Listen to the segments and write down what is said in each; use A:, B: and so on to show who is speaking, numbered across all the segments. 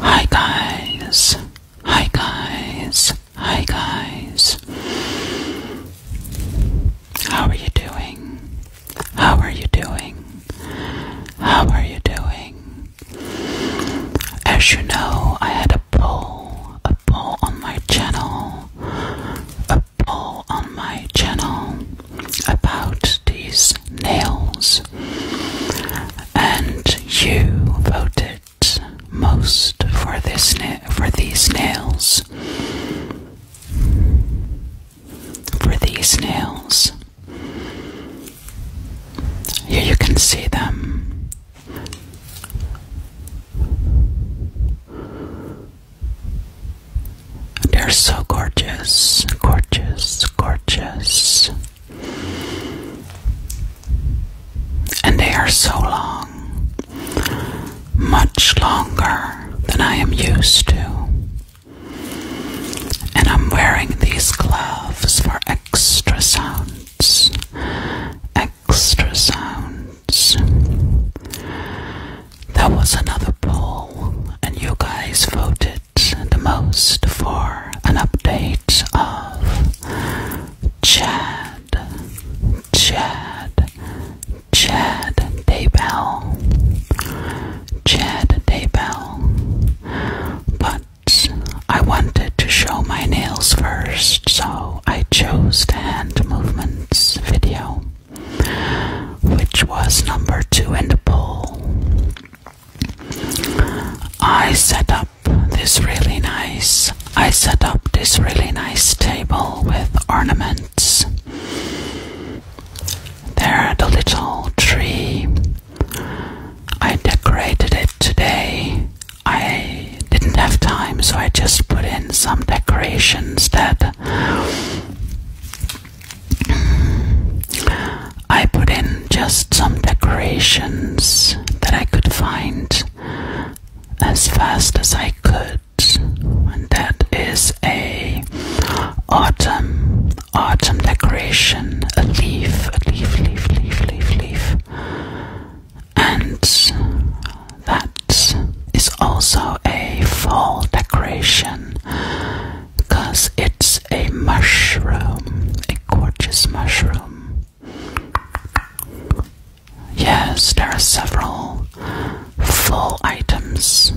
A: Hi guys. Hi guys. Hi guys. How are you doing? How are you doing? How are you doing? As you know, I had a poll, a poll on my channel, a poll on my channel about these nails and you voted most for these nails. For these nails. Here you can see them. They're so gorgeous, gorgeous, gorgeous. And they are so long, much longer than I am used to. And I'm wearing these gloves for extra sounds. Extra sounds. That was another poll, and you guys voted the most for an update of Chad, Chad, Chad Daybell, Chad Daybell. But I wanted to show my nails first, so I chose the hand movements video, which was number two in the poll. I set up this really nice I set up this really nice table with ornaments. There the little tree. I decorated it today. I didn't have time so I just put in some decorations that I put in just some decorations that I could find as fast as I could, and that is a autumn autumn decoration, a leaf, a leaf, leaf, leaf, leaf, leaf, and that is also a fall decoration because it's a mushroom, a gorgeous mushroom. Yes, there are several fall items,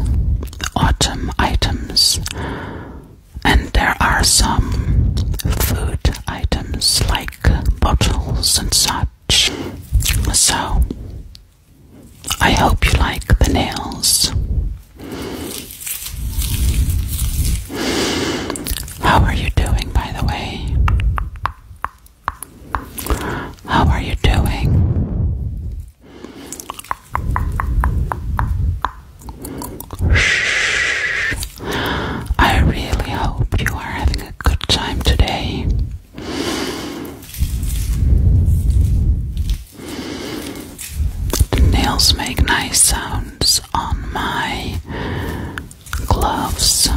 A: autumn items, and there are some food items like bottles and such. So, I hope you like the nails. How are you doing, by the way? How are you doing? Shh. I really hope you are having a good time today. The nails make nice sounds on my gloves.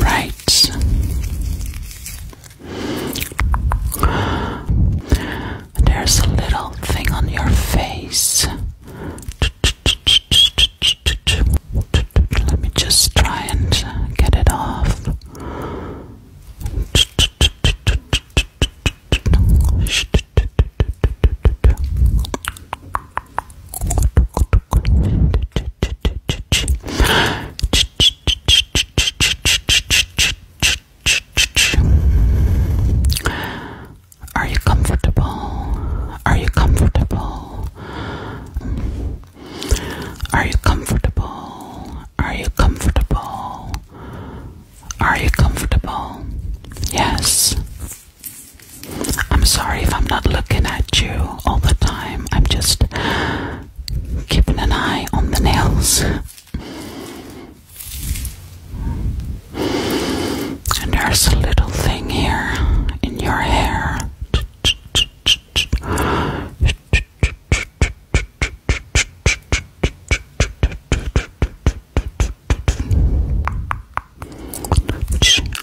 A: Right. There's a little thing on your face. Let me just try and get it off. Are you comfortable? Are you comfortable? Are you comfortable? Are you comfortable? Are you comfortable? Yes. I'm sorry if I'm not looking at you all the time. I'm just keeping an eye on the nails. And there's a little thing here in your hair.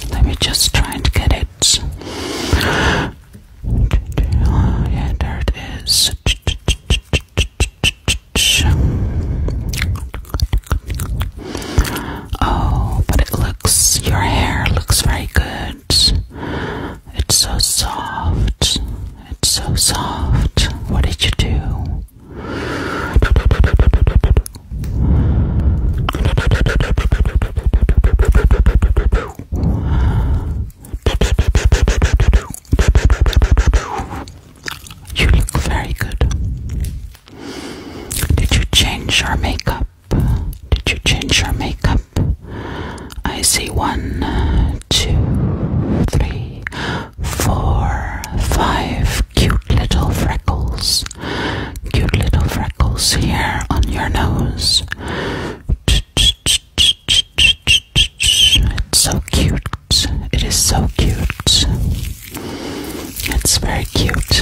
A: Let me just try and get it. Oh, yeah, there it is. Oh, but it looks, your hair looks very good it. It's so soft. It's so soft. What did you do? You look very good. Did you change your makeup? Did you change your makeup? I see one, two, three, four, five cute little freckles. Cute little freckles here on your nose. It's so cute. It is so cute. It's very cute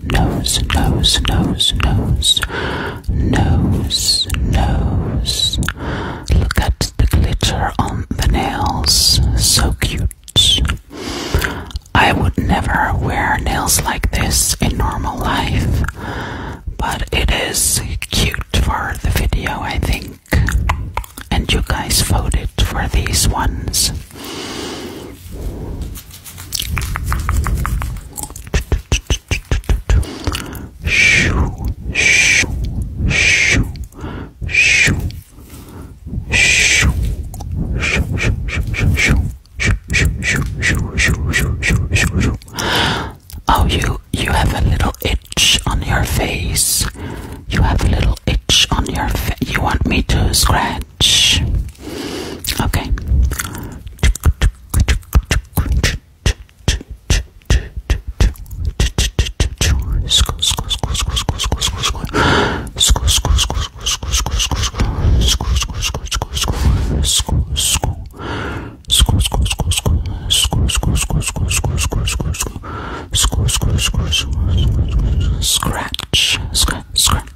A: nose, nose, nose, nose, nose, nose. Look at the glitter on the nails, so cute. I would never wear nails like this in normal life, but it is cute for the video, I think. And you guys voted for these ones. Shoo, shoo, shoo, shoo, shoo, shoo, Oh, you you have a little itch on your face. You have a little itch on your face. You want me to scratch? much. Okay. Scratch, scratch, scratch.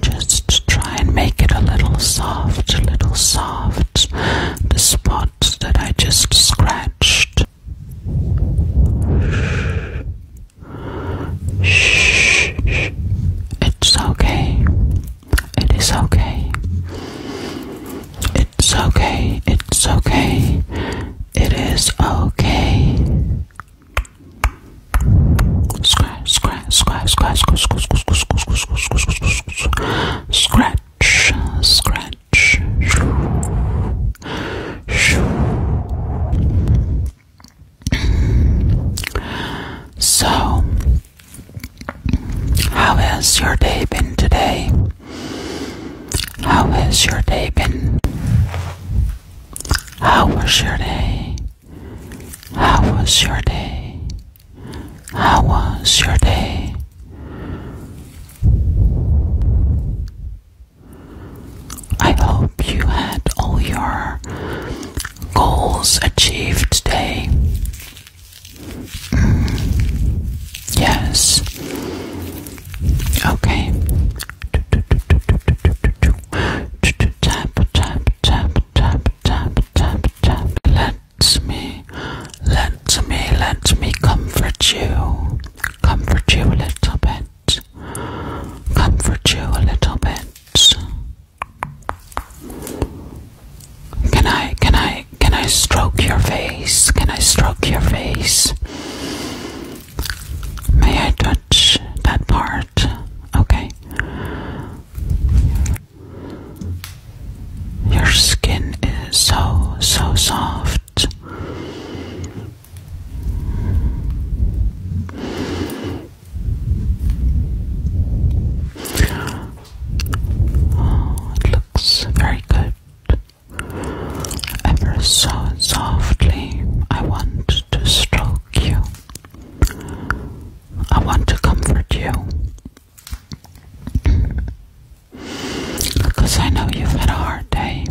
A: Just try and make it a little soft, a little soft. The spots that I just scratched. Shh. It's okay. It is okay. It's okay. It's okay. It is okay. Scratch, scratch, scratch, scratch, scratch, scratch, scratch, so, how has your day been today? How has your day been? How was your day? How was your day? How was your day? I hope you had all your goals achieved today. Mm. Yes. Okay. Tap, tap, tap, tap, tap, tap, tap. Let me, let me, let me comfort you. Comfort you a little bit. Comfort you a little bit. Can I, can I, can I stroke your face? Can I stroke your face? May I touch that part? Okay. Your skin is so, so soft. Oh, it looks very good. Ever so softly, I want to stroke you. I want to comfort you. Because I know you've had a hard day.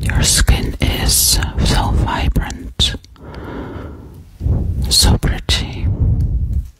A: Your skin is so vibrant, so pretty,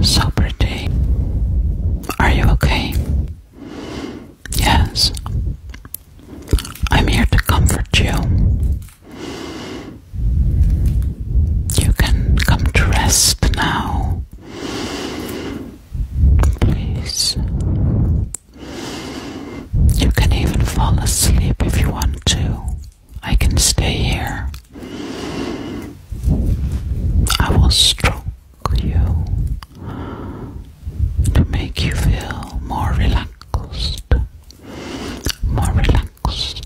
A: So pretty. Are you okay? Yes. I'm here to comfort you. You can come to rest now. Please you can even fall asleep if you want to. I can stay here. I will stroke you to make you feel more relaxed. More relaxed.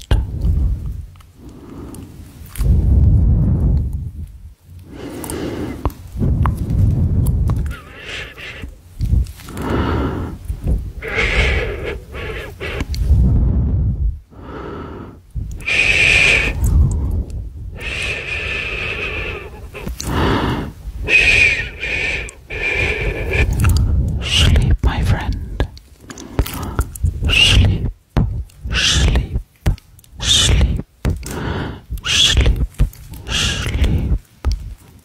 A: Sleep, my friend. Sleep, sleep, sleep, sleep, sleep,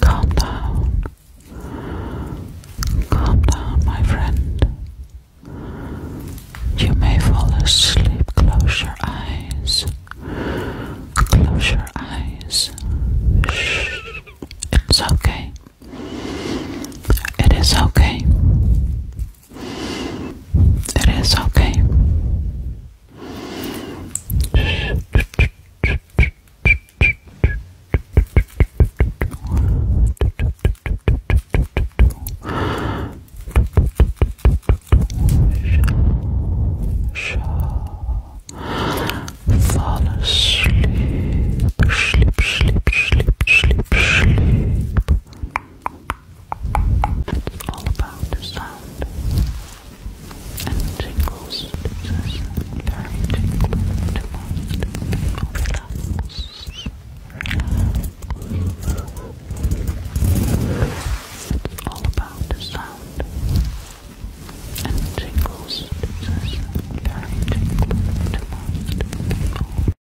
A: Calm down. Calm down, my friend. You may fall asleep. Close your eyes. Close your eyes. Shh. It's okay. It is okay. It is okay. fall asleep, sleep, sleep, sleep, sleep, sleep. It's all about the sound and the tingles. It's just very tingling to most It's all about the sound and tingles. It's just very tingling to most